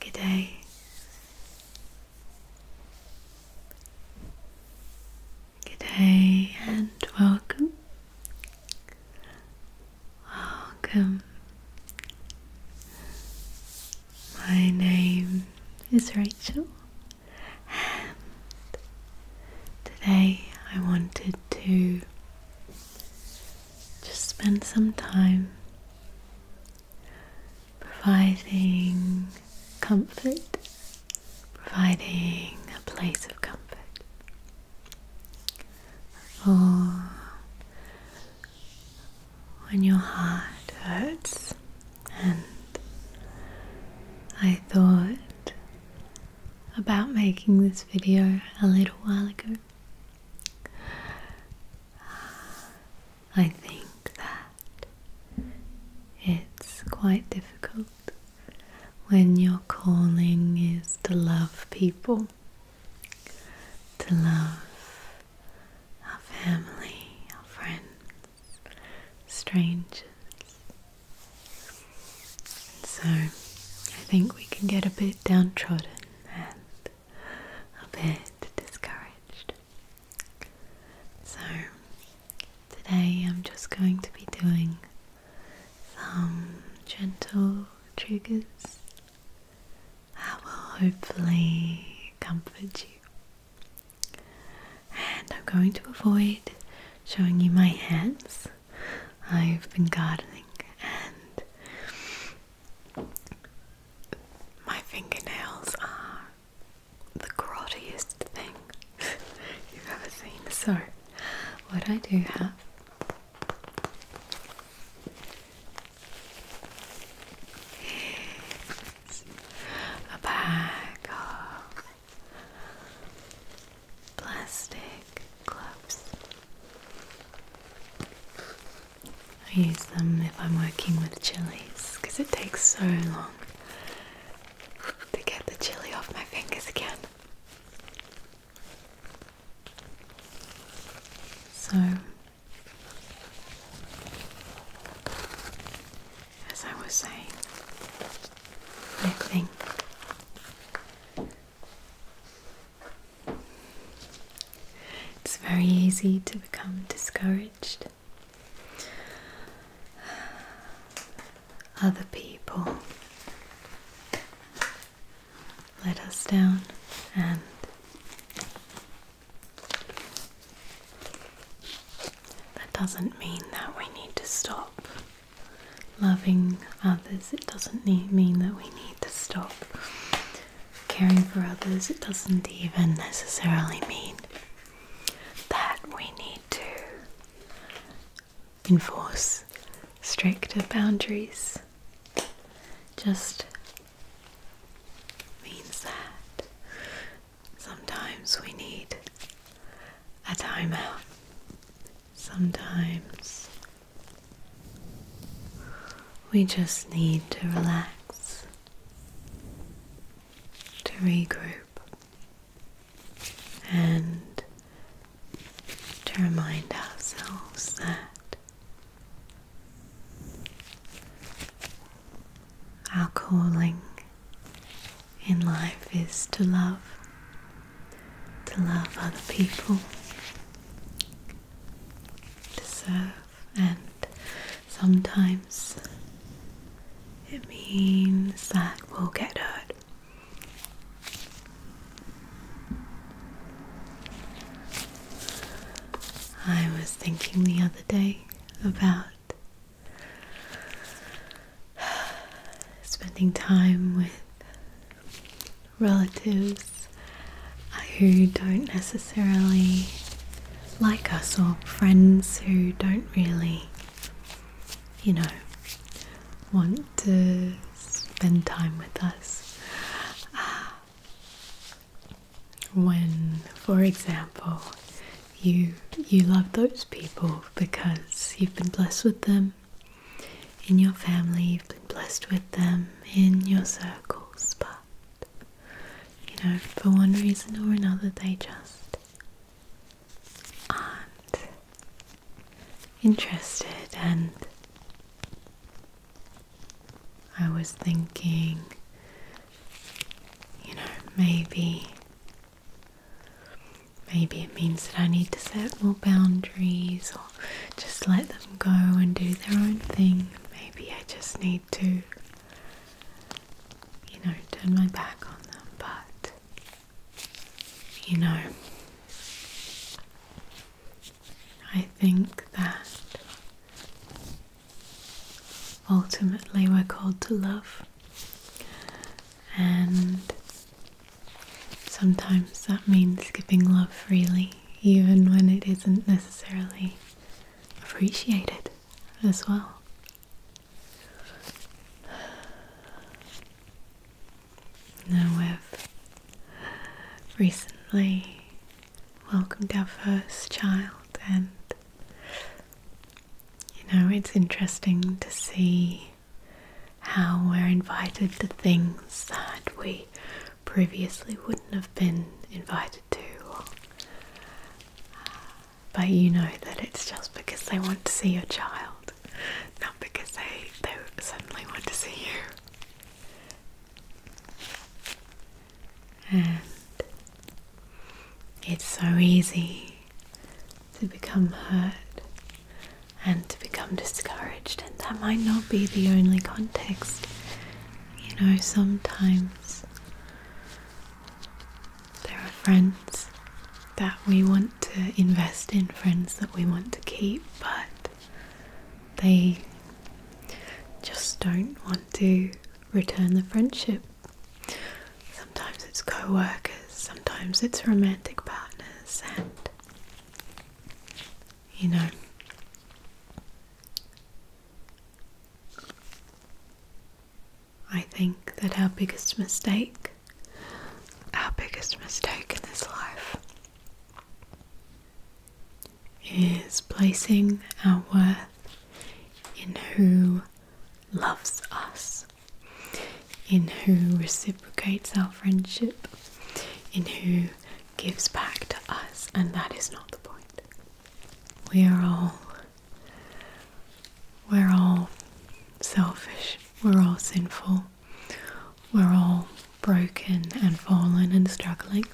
Good day. Good day and welcome. Welcome. My name is Rachel and today I wanted to just spend some time providing comfort, providing a place of comfort for when your heart hurts. And I thought about making this video a little while ago. I think that it's quite difficult when your calling is to love people, to love our family, our friends, strangers, so I think we can get a bit downtrodden and a bit discouraged. So today I'm just going to be doing some gentle triggers that will hopefully comfort you and I'm going to avoid showing you my hands. I've been gardening and my fingernails are the grottiest thing you've ever seen. So, what I do have is a bag of plastic gloves. I use them if I'm working with chilies because it takes so long to get the chili off my fingers again. So as I was saying, I think it's very easy to become discouraged. Other people let us down and that doesn't mean that we need to stop loving others. It doesn't mean that we need to stop caring for others. It doesn't even necessarily mean that we need to enforce stricter boundaries. Just means that sometimes we need a timeout sometimes we just need to relax to regroup and to remind ourselves that our calling in life is to love, to love other people, to serve, and sometimes it means that we'll get hurt. I was thinking the other day about spending time with relatives who don't necessarily like us or friends who don't really, you know, want to spend time with us. When, for example, you you love those people because you've been blessed with them in your family, you've been blessed with them in your circles, but you know, for one reason or another they just aren't interested and I was thinking, you know, maybe Maybe it means that I need to set more boundaries or just let them go and do their own thing. Maybe I just need to, you know, turn my back on them, but, you know, I think that ultimately we're called to love and sometimes that means giving love freely, even when it isn't necessarily appreciated as well. Now we've recently welcomed our first child, and you know, it's interesting to see how we're invited to things that we previously wouldn't have been invited to. But you know that it's just because they want to see your child, not because they, suddenly want to see you. And it's so easy to become hurt and to become discouraged, and that might not be the only context. You know, sometimes there are friends that we want to invest in, friends that we want to keep, but they just don't want to return the friendship Sometimes it's co workers, sometimes it's romantic partners, and you know. I think that our biggest mistake, our biggest mistake in this life, is placing our worth in who loves us in who reciprocates our friendship, in who gives back to us, and that is not the point. We are all we're all selfish, we're all sinful, we're all broken and fallen and struggling.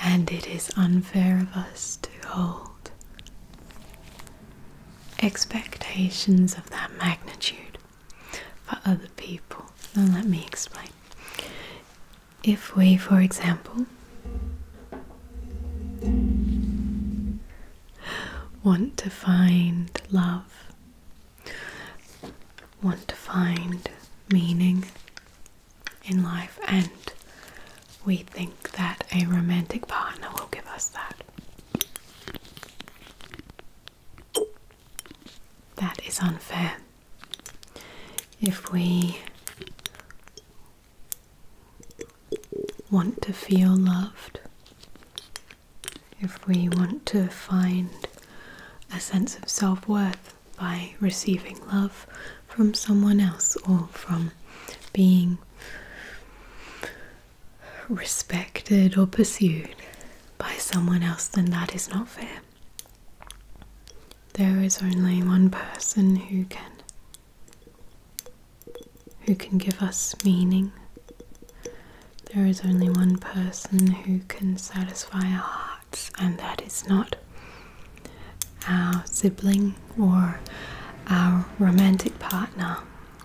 And it is unfair of us to hold expectations of that magnitude for other people. Now, let me explain. If we, for example, want to find love, want to find meaning in life, and we think that a romantic partner will give us that. That is unfair. If we want to feel loved, if we want to find a sense of self worth by receiving love from someone else or from being respected or pursued by someone else, then that is not fair. There is only one person who can who can give us meaning. There is only one person who can satisfy our hearts, and that is not our sibling or our romantic partner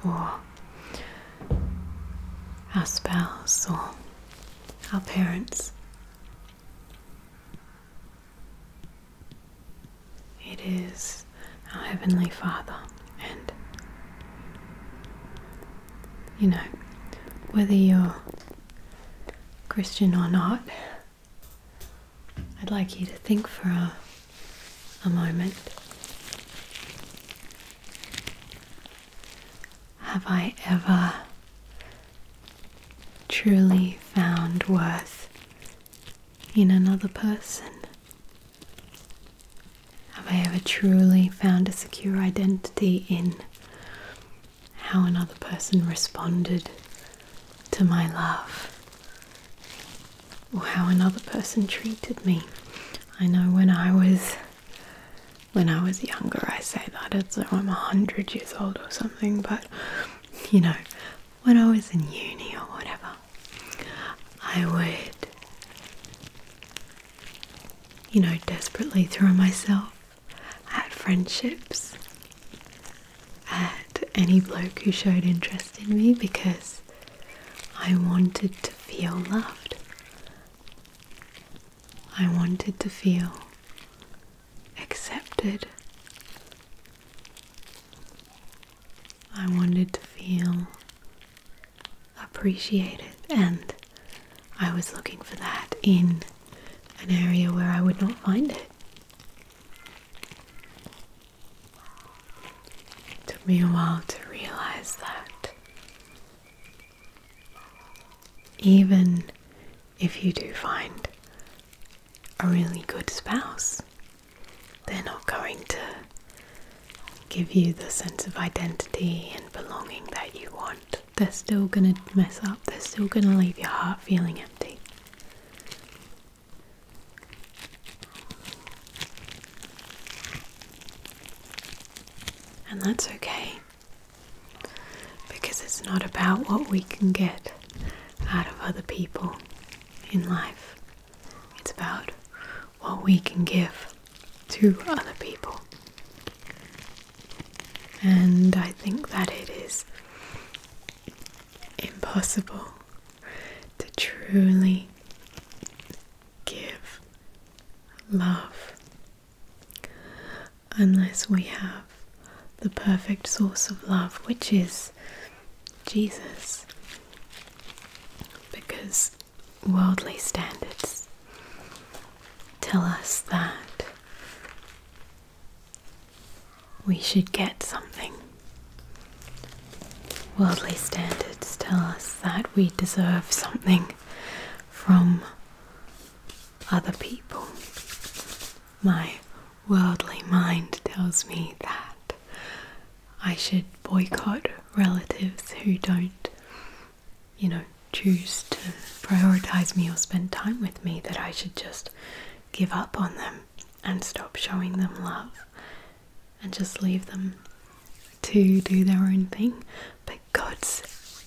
or our spouse or our parents. It is our Heavenly Father, and you know, whether you're Christian or not, I'd like you to think for a, moment. Have I ever truly found worth in another person? Have I ever truly found a secure identity in how another person responded to my love? or how another person treated me. I know when I was when I was younger I say that as though I'm a hundred years old or something, but you know, when I was in uni or whatever, I would you know, desperately throw myself at friendships at any bloke who showed interest in me because I wanted to feel loved. I wanted to feel accepted. I wanted to feel appreciated, and I was looking for that in an area where I would not find it. It took me a while to realize that even if you do find a really good spouse, they're not going to give you the sense of identity and belonging that you want. They're still going to mess up, they're still going to leave your heart feeling empty. And that's okay because it's not about what we can get out of other people in life, it's about what we can give to other people. And I think that it is impossible to truly give love. Unless we have the perfect source of love, which is Jesus, because worldly standards tell us that we should get something Worldly standards tell us that we deserve something from other people. My worldly mind tells me that I should boycott relatives who don't, you know, choose to prioritize me or spend time with me, that I should just give up on them and stop showing them love and just leave them to do their own thing. But God's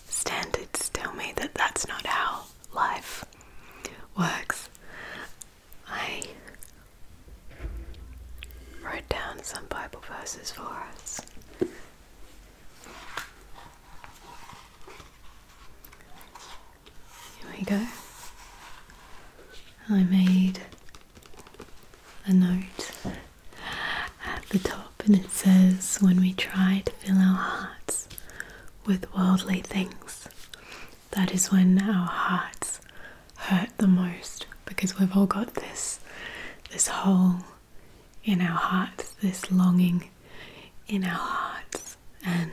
standards tell me that that's not how life works. I wrote down some Bible verses for us. Here we go. I made a note at the top, and it says, When we try to fill our hearts with worldly things, that is when our hearts hurt the most because we've all got this this hole in our hearts, this longing in our hearts, and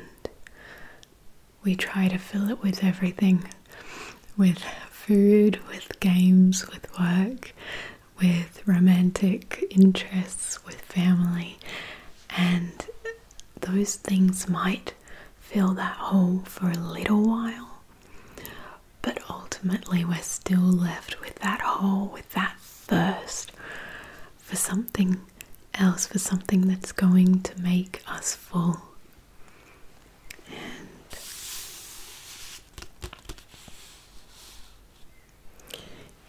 we try to fill it with everything with food, with games, with work, with romantic interests, with family, and those things might fill that hole for a little while. But ultimately, we're still left with that hole, with that thirst for something else, for something that's going to make us full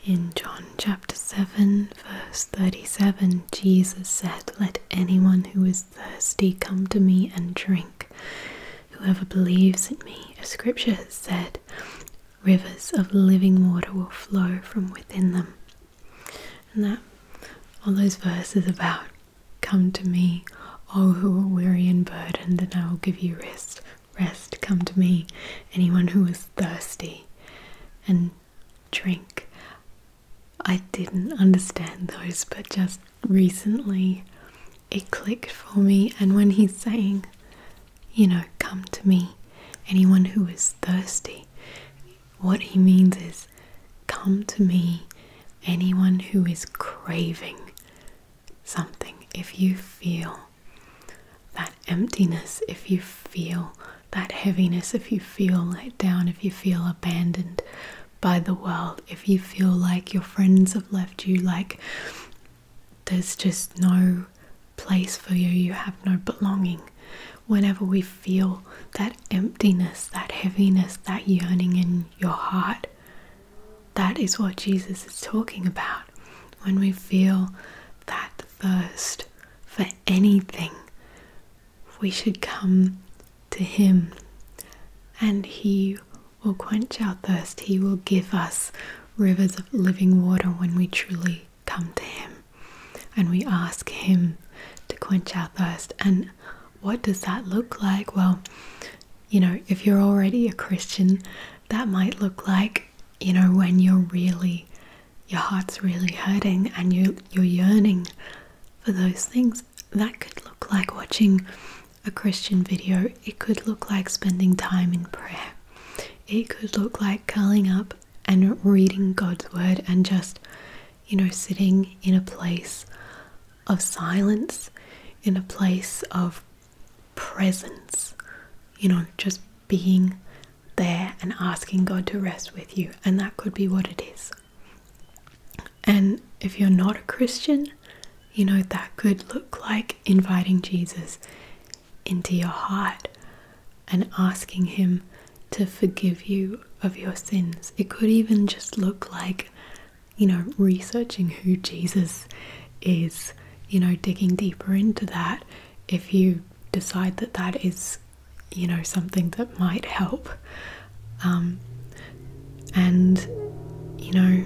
in John chapter 7, verse 37, Jesus said, Let anyone who is thirsty come to me and drink. Whoever believes in me, as scripture has said, rivers of living water will flow from within them. And that all those verses about Come to me, all who are weary and burdened, and I will give you rest. Rest, come to me, anyone who is thirsty, and drink. I didn't understand those, but just recently it clicked for me. And when he's saying, you know, come to me, anyone who is thirsty, what he means is, come to me, anyone who is craving something. If you feel that emptiness, if you feel that heaviness, if you feel let down, if you feel abandoned by the world, if you feel like your friends have left you, like there's just no place for you, you have no belonging. Whenever we feel that emptiness, that heaviness, that yearning in your heart. That is what Jesus is talking about. When we feel that thirst for anything, we should come to Him and He will quench our thirst. He will give us rivers of living water when we truly come to Him and we ask Him to quench our thirst. And what does that look like? Well, you know, if you're already a Christian, that might look like, you know, when you're really your heart's really hurting and you you're yearning for those things. That could look like watching a Christian video. It could look like spending time in prayer. It could look like curling up and reading God's word and just you know, sitting in a place of silence, in a place of presence, you know, just being there and asking God to rest with you. And that could be what it is. And if you're not a Christian, you know, that could look like inviting Jesus into your heart and asking Him to forgive you of your sins. It could even just look like, you know, researching who Jesus is, you know, digging deeper into that if you decide that that is, you know, something that might help. Um, and, you know,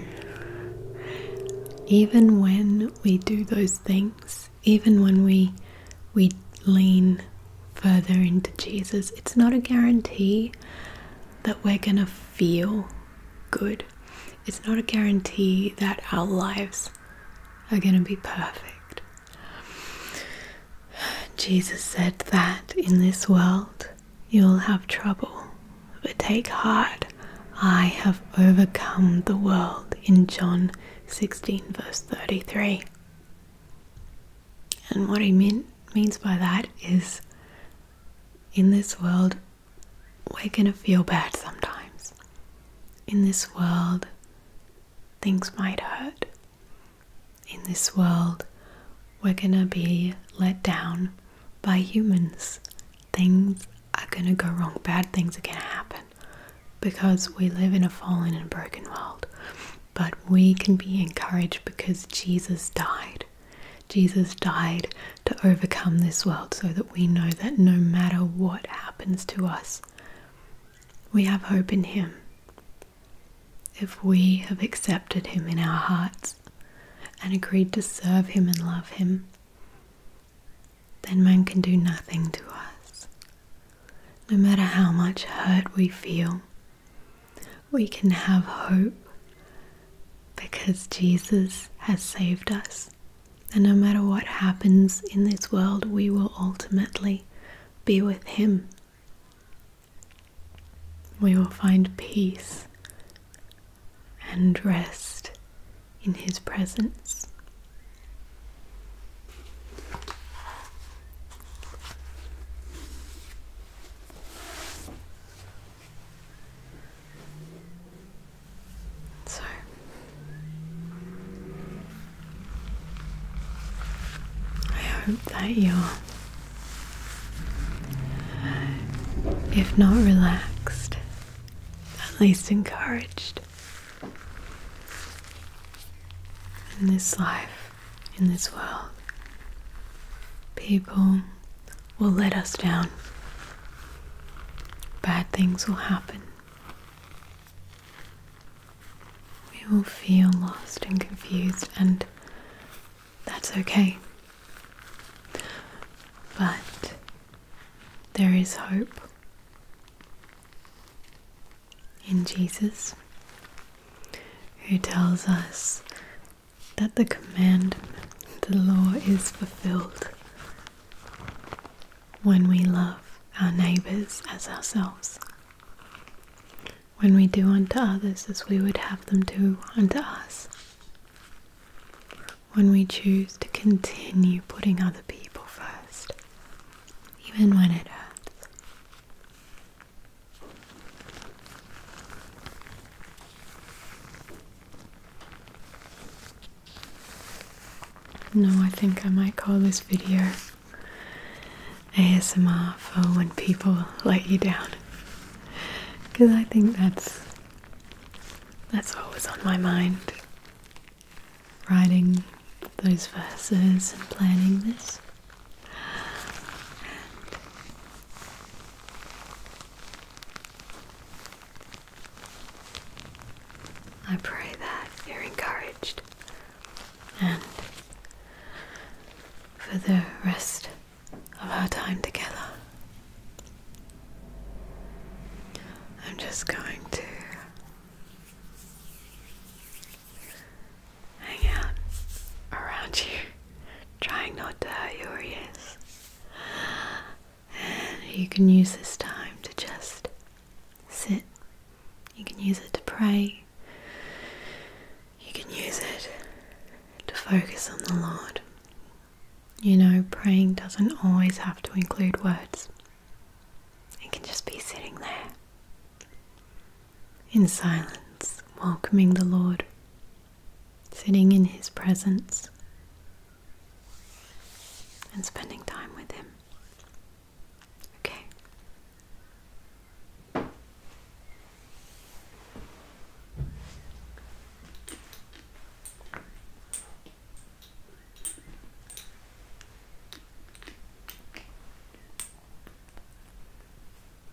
even when we do those things, even when we we lean further into Jesus, it's not a guarantee that we're going to feel good. It's not a guarantee that our lives are going to be perfect. Jesus said that in this world you'll have trouble, but take heart. I have overcome the world in John 16, verse 33. And what he means by that is in this world, we're going to feel bad sometimes. In this world, things might hurt. In this world, we're going to be let down by humans. Things are going to go wrong. Bad things are going to happen because we live in a fallen and broken world but we can be encouraged because Jesus died. Jesus died to overcome this world so that we know that no matter what happens to us, we have hope in Him. If we have accepted Him in our hearts and agreed to serve Him and love Him, then man can do nothing to us. No matter how much hurt we feel, we can have hope because Jesus has saved us. And no matter what happens in this world, we will ultimately be with Him. We will find peace and rest in His presence. So I hope that you if not relaxed, at least encouraged in this life in this world. People will let us down, bad things will happen. We will feel lost and confused, and that's okay. But there is hope in Jesus, who tells us that the command, the law is fulfilled when we love our neighbours as ourselves, when we do unto others as we would have them do unto us, when we choose to continue putting other people first, even when it hurts. No, I think I might call this video ASMR for when people let you down. Because I think that's that's what was on my mind. Writing those verses and planning this. I pray that you're encouraged and for the rest of our time together. I'm just going to hang out around you, trying not to hurt your ears. you can use this time to just sit. You can use it to pray. You can use it to focus on the Lord. You know, praying doesn't always have to include words, it can just be sitting there in silence, welcoming the Lord, sitting in His presence, and spending time with Him. Okay.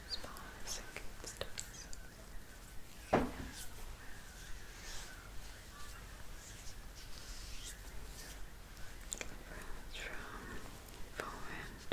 circumstance. From forward, lean. Sticking to the power and